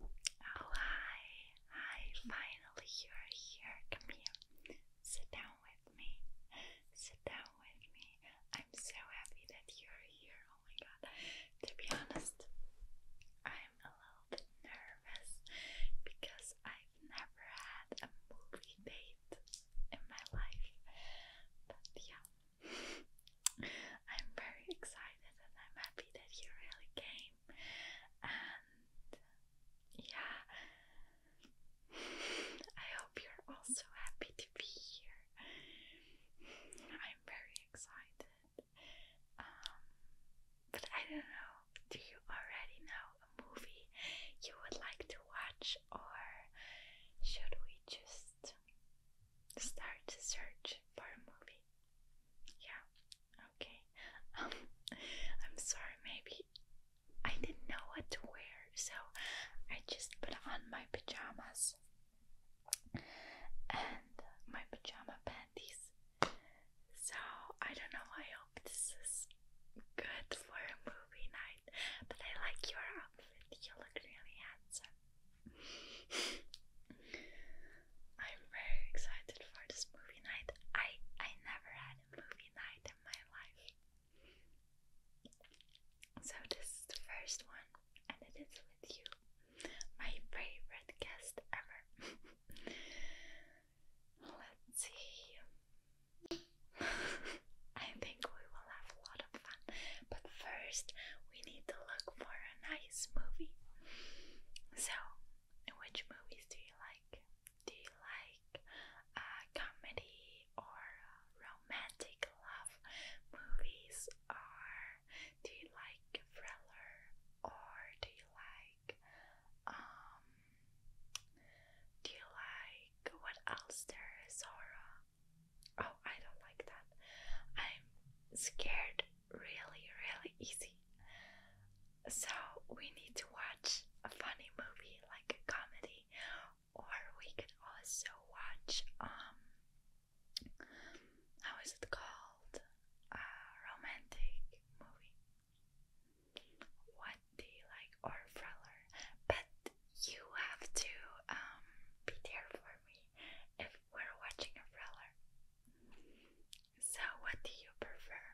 Oh, hi, hi, finally you're here. Come here. Sit down with me. Sit down with me. I'm so happy that you're here. Oh my god. To be honest, I'm a little nervous because I've never had a movie date in my life. But yeah, I'm very excited and I'm happy that you really came. And yeah, I hope you're also happy to be here. I'm very excited. Um, but I don't know, do you already know a movie you would like to watch, or should we just start to search for a movie? Yeah, okay. Um, I'm sorry, maybe I didn't know what to wear, so I just put on my pajamas and my pajama panties. So I don't know, I hope this is good for a movie night, but I like your outfit, you look really handsome. I'm very excited for this movie night. I I never had a movie night in my life. So this is the first one and it is with you. My favorite guest ever. Let's see. I think we will have a lot of fun, but first we need to look for an nice So, which movies do you like? Do you like uh, comedy or uh, romantic love movies, or do you like thriller, or do you like um, Do you like what else? There is horror. Oh, I don't like that. I'm scared really, really easy. So we need to watch a funny movie like a comedy, or we could also watch um how is it called? A romantic movie. What do you like? Or thriller, but you have to um be there for me we're watching a thriller. So, what do you prefer?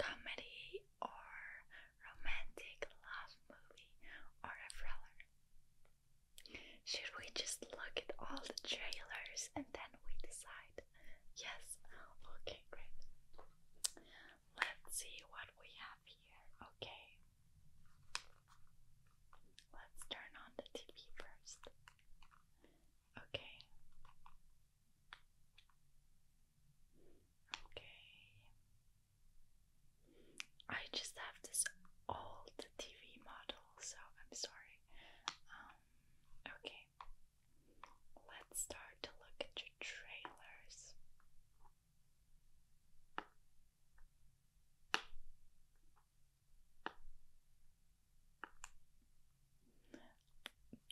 Comedy or romantic love movie or a thriller? Should we just look at all the trailers and then we decide? Yes, okay, great. Let's see what we have here. Okay, let's turn on the TV first. Okay. Okay. I just have this old TV model, so I'm sorry. Um, okay. Let's start to look at your trailers.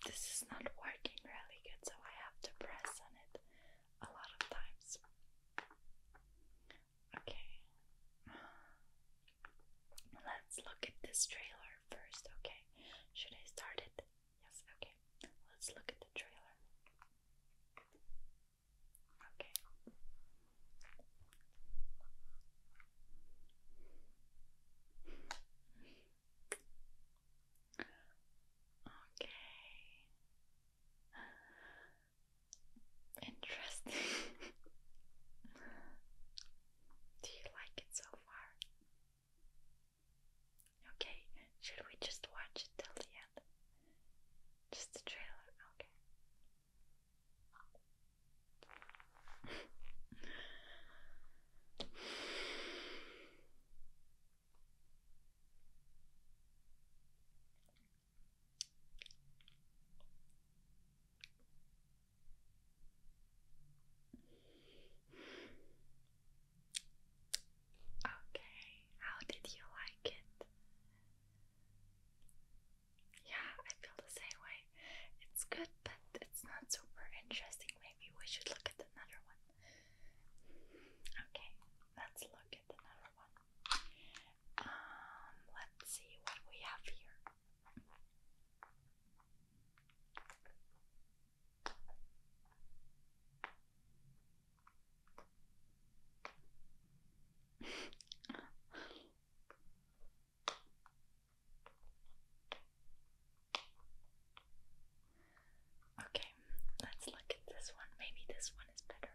This is not working really good, so I have to press on it a lot of times. Okay, let's look at this trailer first. Okay, should I start it? Yes, okay, let's look at the trailer. Okay. Okay. Interesting. Do you like it so far? Okay, should we just watch it till the end? Just the trailer, okay. Okay, how did you like it? Yeah, I feel the same way. It's good, but it's not super interesting. Maybe we should look at another one. Okay, let's look at another one. Um, let's see what we have here. Okay, let's look at this one. Maybe this one is better.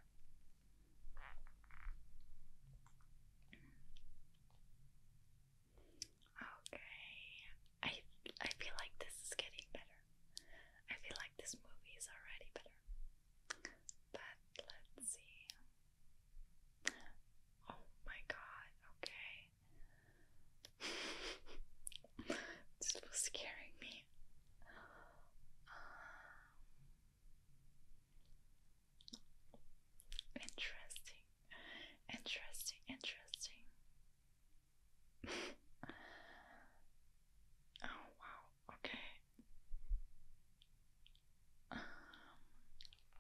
Okay, I I feel like this is getting better. I feel like this movie is already better. But let's see. Oh my god, okay. this was scaring me. Um, interesting, interesting, interesting. oh wow, okay.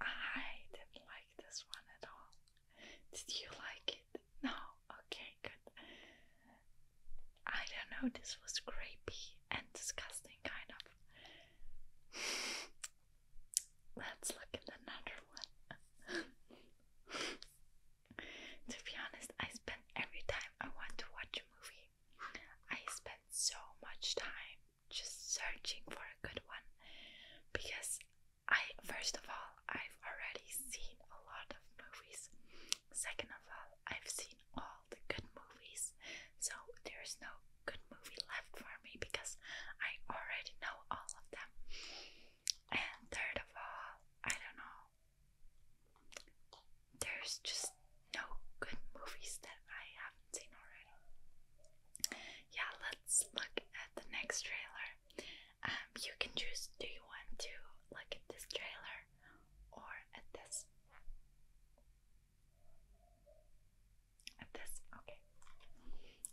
I didn't like this one at all. Did you like it? No? Okay, good. I don't know, this was grapey and disgusting, kind of. Let's look at another one. to be honest, I spend every time I want to watch a movie, I spend so much time just searching for a good one because I, first of all, I've already seen a lot of movies. Second of all, I've seen all the good movies, so there's no good movie left for me because I already know all of them. And third of all, I don't know, there's just no good movies that I haven't seen already. Yeah, let's look at the next trailer. Um, you can choose do you want to look at this trailer or at this? At this, okay.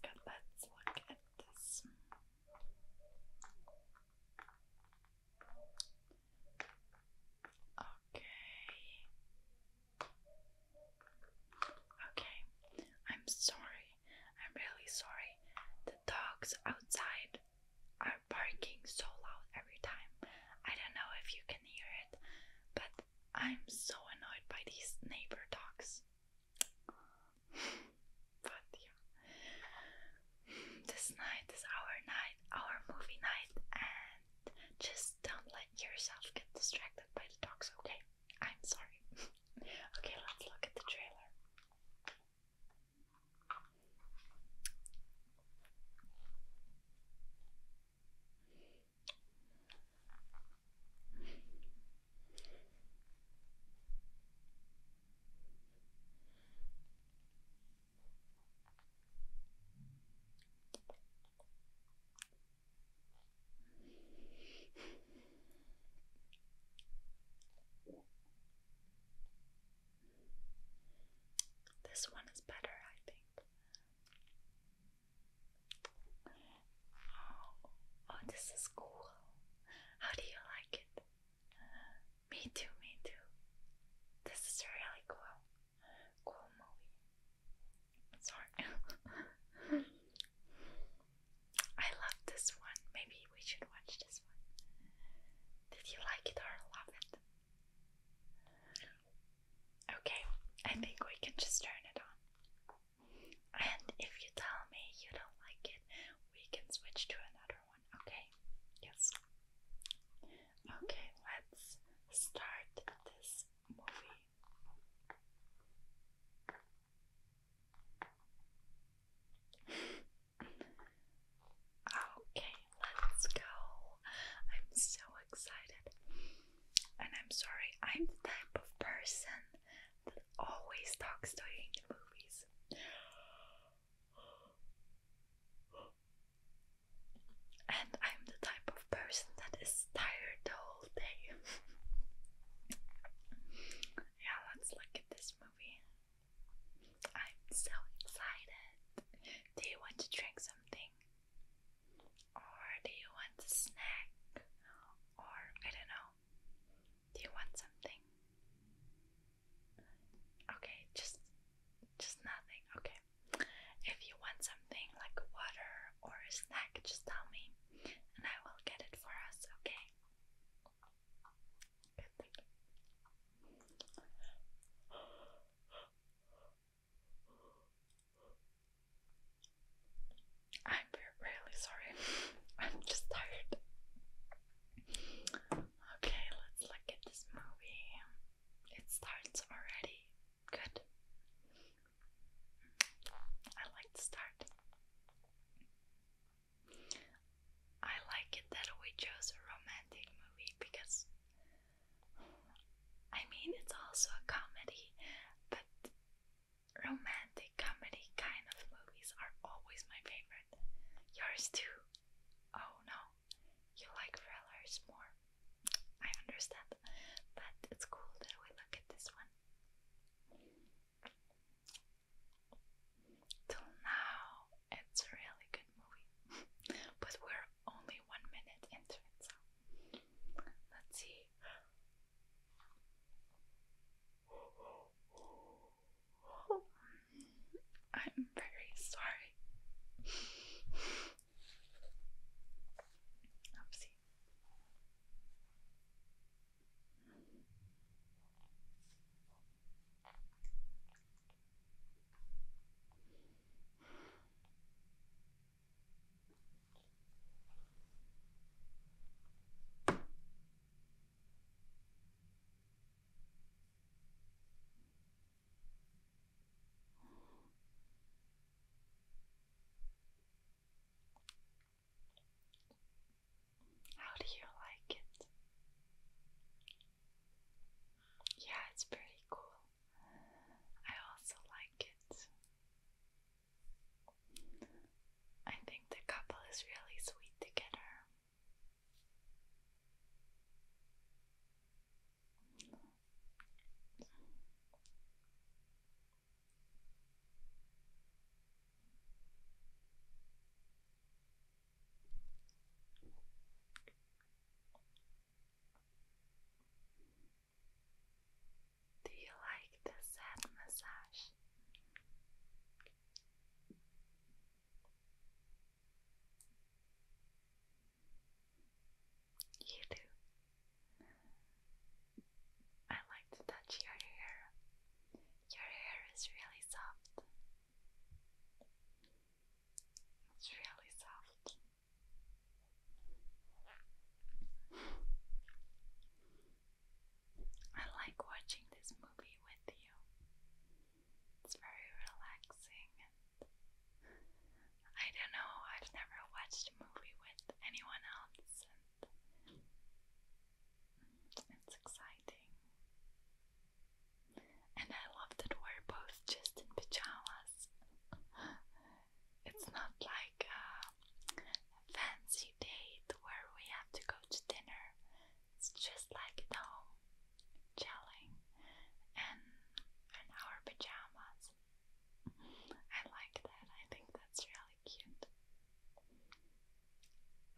Good, let's look at this. Okay. Okay, I'm sorry. I'm really sorry. The dogs outside are barking so loud every time. I don't know if you can hear it, but I'm so annoyed by these neighbor dogs. but yeah. This night is our night, our movie night, and just don't let yourself get distracted by the dogs, okay? I'm sorry. okay, let's look at the trailer. This one is better, I think. Oh, oh, this is cool. How do you like it? Me too, me too. This is really cool. Cool movie. Sorry. I love this one. Maybe we should watch this one. Did you like it or love it? Okay, I think we can just turn it on. And if you tell me you don't like it, we can switch to another one, okay? Yes. Okay, let's start this okay, let's go. I'm so excited. And I'm sorry, I'm the type of person that always talks to you in the movies. And I'm the type of person that is tired the whole day. yeah, let's look at this movie. I'm so excited. Do you want to drink something? Or do you want a snack? Or I don't know. Do you want something? Okay, just just nothing. Okay. If you want something like water or a snack, just tell me and I will get it for us, okay? I'm really sorry. I'm just tired. Okay, let's look at this movie. It starts already Good. I like the start. I like it that we chose a romantic movie because I mean it's also a comedy, but romantic comedy kind of movies are always my favorite. Yours too. Oh no, you like thrillers more. I understand, but it's cool that we look at this one. Till now, it's a really good movie, but we're only one minute into it, so let's see. I'm very sorry. Oopsie. How do you like it? Yeah, it's pretty cool. I also like it. I think the couple is really sweet together. Do you like this head massage? You too. I like to touch your hair. Your hair is really soft. It's really soft. I like watching this movie with you. It's very relaxing I don't know, I've never watched a movie with anyone else, and it's exciting. And I love that we're both just in pajamas. It's not like a fancy date where we have to go to dinner. It's just like at home, chilling, and in our pajamas. I like that. I think that's really cute.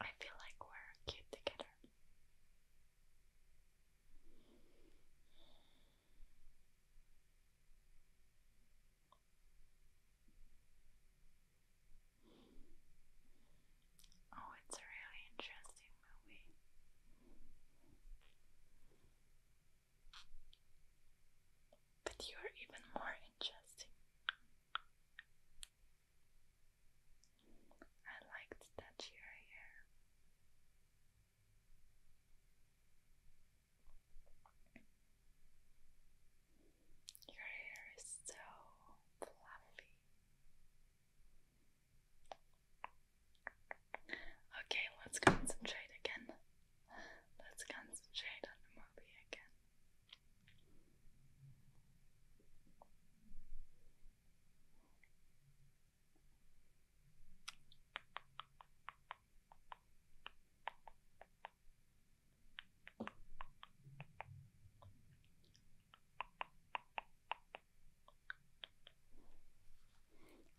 I feel like we're cute together. Oh, it's a really interesting movie. But you are even more interesting. I liked that you're Your hair is so fluffy. Okay, let's concentrate again. Let's concentrate on the movie again.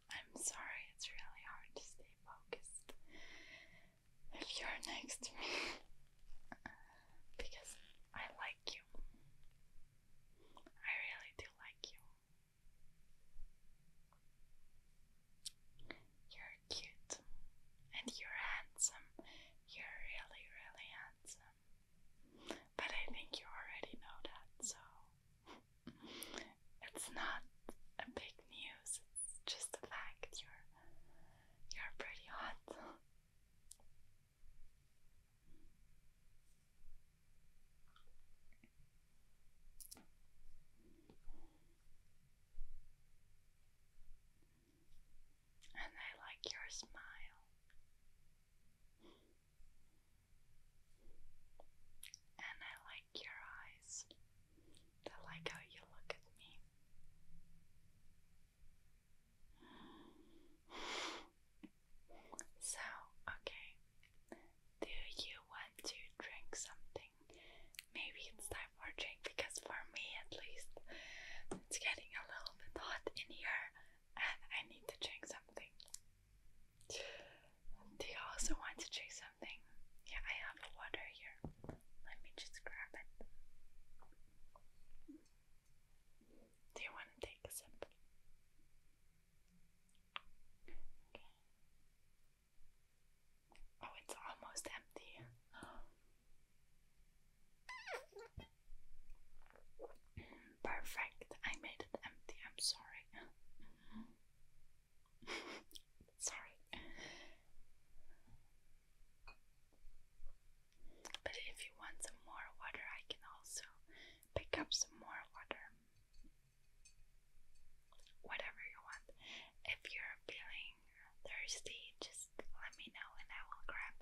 I'm sorry, it's really hard to stay focused if you're next to me because I like you. I really do like you. You're cute and you're handsome. You're really, really handsome. But I think you already know that, so it's not a big news, it's just a fact you're you're pretty hot. And I like your smile. And I like your eyes. I like how you look at me. So, okay. Do you want to drink something? Maybe it's time for drink because for me at least it's getting a little bit hot in here and I need to drink something. Do you also want to drink something? Yeah, I have water here. Let me just grab it. Do you want to take a sip? Okay. Oh, it's almost empty. Perfect. I made it empty. I'm sorry. Sorry. But if you want some more water, I can also pick up some more water. Whatever you want. If you're feeling thirsty, just let me know and I will grab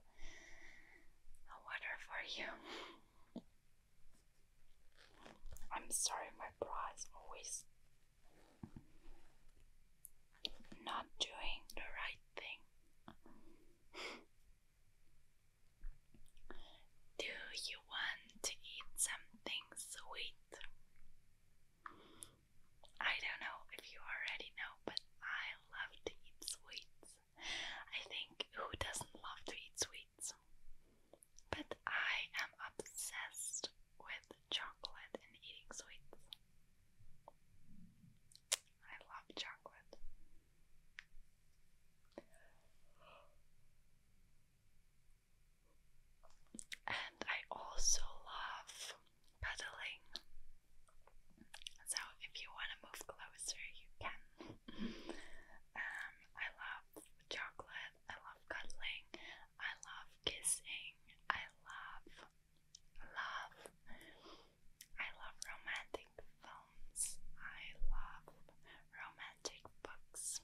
a water for you. I'm sorry, my pride is always not doing the right thing. Do you want to eat something sweet? I don't know if you already know, but I love to eat sweets. I think who doesn't love to eat sweets? But I am obsessed with chocolate and eating sweets. I love chocolate. And I also love pedaling. So if you want to move closer, you can um, I love chocolate, I love cuddling, I love kissing, I love love, I love romantic films, I love romantic books.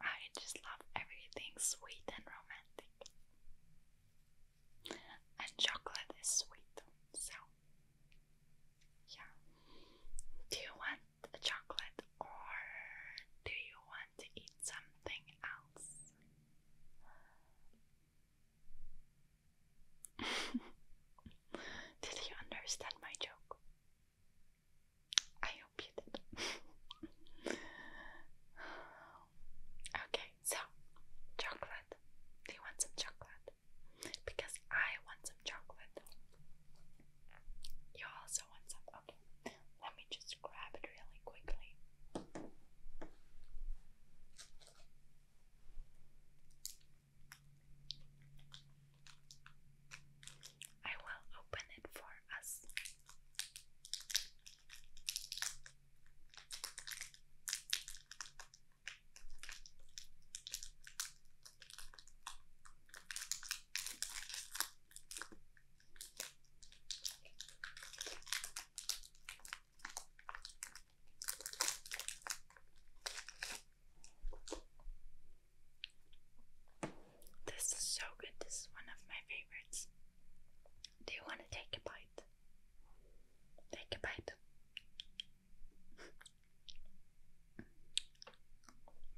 I just love everything sweet and romantic. And chocolate is sweet, so yeah. Do you want chocolate or do you want to eat something else? did you understand my joke? I hope you did. okay, so chocolate chocolate. want some chocolate? Because I want some chocolate. You also want some. Okay, let me just grab it really quickly. I will open it for us. This is so good. This is one of my favorites. Do you want to take a bite? Take a bite.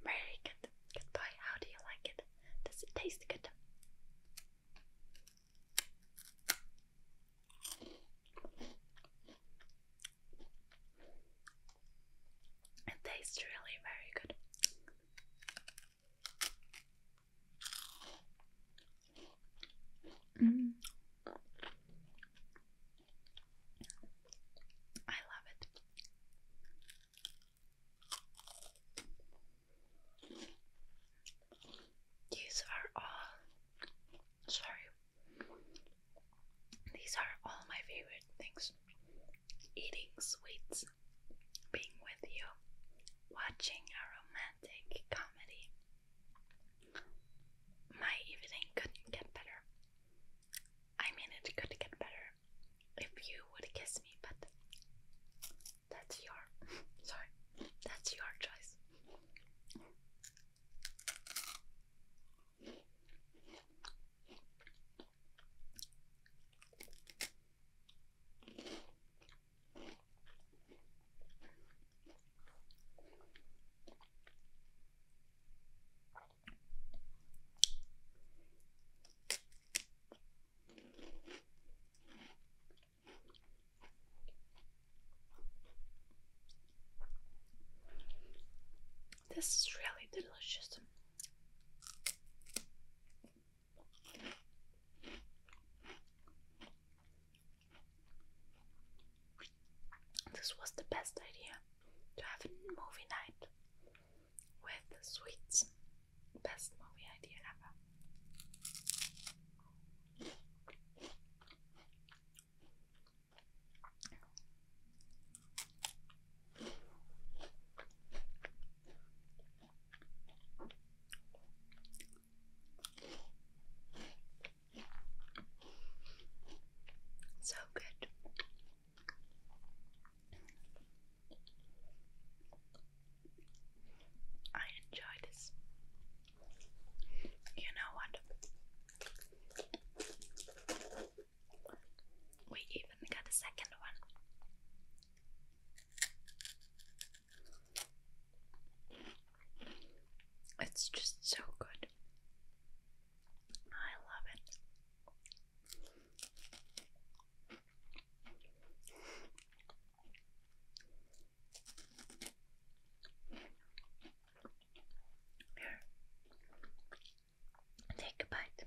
Very good. Good boy. How do you like it? Does it taste good? It tastes really very good. Mm. I love it. These are all sorry. These are all my favorite things. Eating sweets, being with you, watching a romantic comedy, my evening couldn't get better. I mean, it could get better if you would kiss me, but that's your sorry, that's your choice. This is really delicious. This was the best idea to have a movie night with sweets. Best movie idea ever. So good. I enjoy this. You know what? We even got a second one. It's just so good. I love it. Here, take a bite.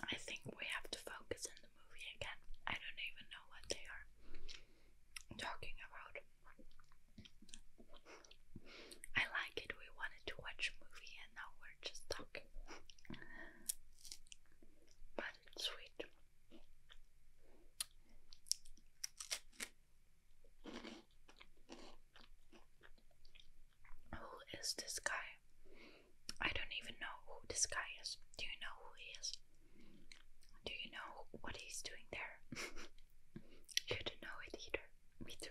I think we have to focus on the movie again. I don't even know what they are talking about. I like it. We wanted to watch a movie and now we're just talking. But it's sweet. Who is this guy? I don't even know who this guy is. Do you know who he is? Do you know what he's doing there? you don't know it either. Me too.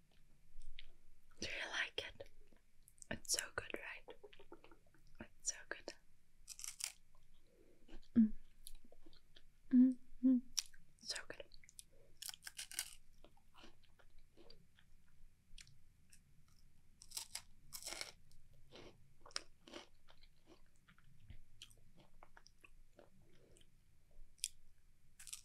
Do you like it? It's so good, right? It's so good. Mm. Mm -hmm. So good.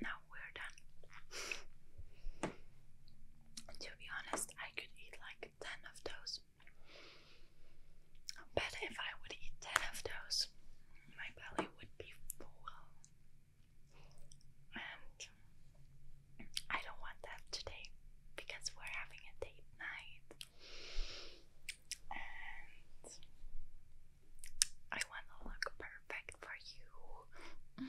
Now we're done. to be honest, I could eat like 10 of those. But if I would eat 10 of those, my belly would be full. And I don't want that today because we're having a date night. I want to look perfect for you.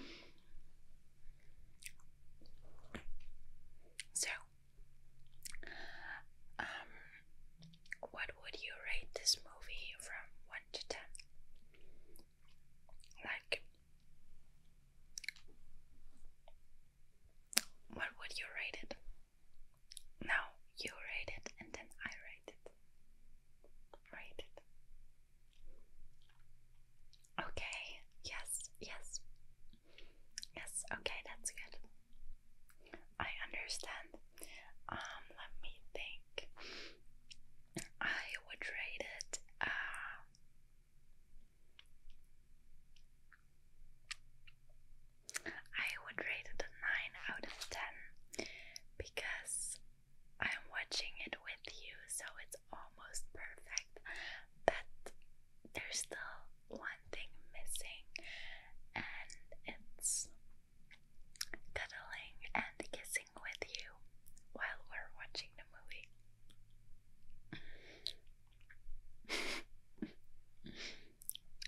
So, um, what would you rate this movie from one to ten? Like, what would you rate it? Now you rate it and then I rate it. Rate it. Okay, yes, yes. Yes, okay, that's good. I understand. Um, let me think. I would rate it uh I would rate it a 9 out of 10 because I'm watching it with you, so it's almost perfect, but there's still one thing missing, and it's cuddling and kissing with you while we're watching the movie.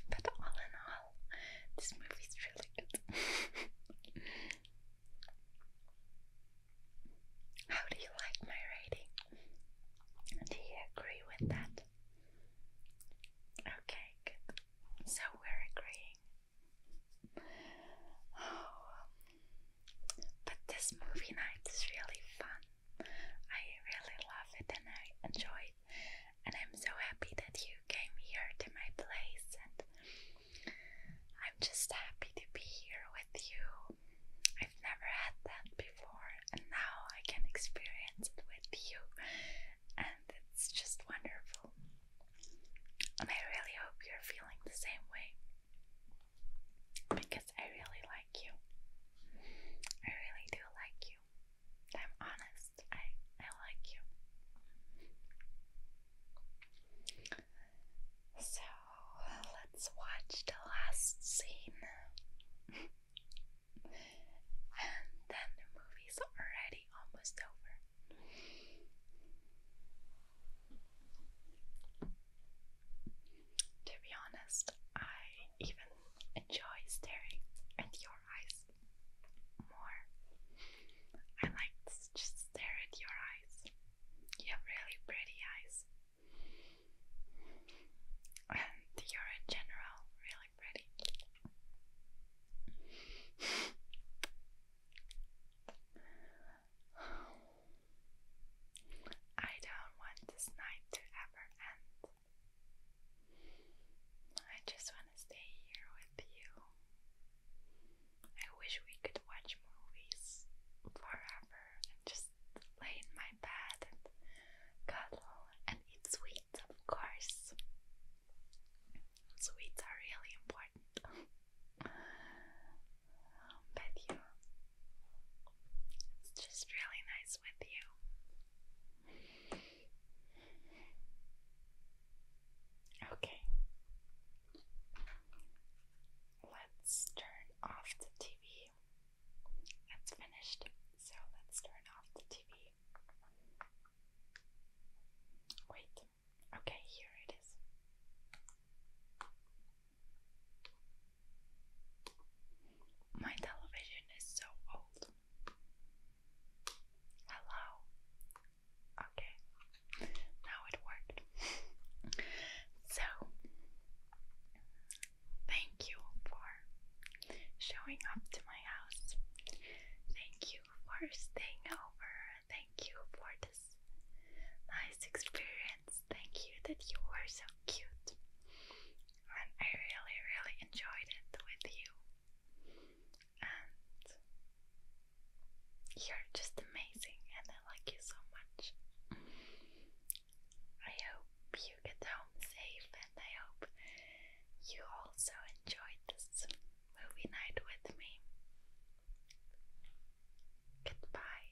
But all in all, this movie's really good. How do you like my rating? Do you agree with that? Okay, good. So we're agreeing. Oh, but this movie night is really fun. I really love it and I enjoy and I'm so happy that you came here to my place, and I'm just happy to be here with you. I've never had that before, and now I can experience it with you, and it's just wonderful. And I really hope you're feeling the same way because I really like you. I really do like you. I'm honest. I I like you. So let's watch the last scene. and then the movie's already almost over. To be honest, I even enjoy staring at your eyes more. I like just stare at your eyes. You have really pretty eyes. And you're in general really pretty. I don't want this night to ever end. I just want to stay here with you. I wish we could watch movies forever and just lay in my bed and cuddle and eat sweets, of course. Sweets are really important. but you, it's just really nice with you. Okay. Let's turn off the TV. That's finished. So let's turn off the TV. Wait. Okay, here it is. My television is so old. Hello. Okay. Now it worked. so, thank you for showing up to my house. Thank you for staying over. Thank you for this nice experience. Thank you that you were so cute and I really, really enjoyed it with you. And you're just amazing, and I like you so much. I hope you get home safe, and I hope you also enjoyed this movie night with me. Goodbye.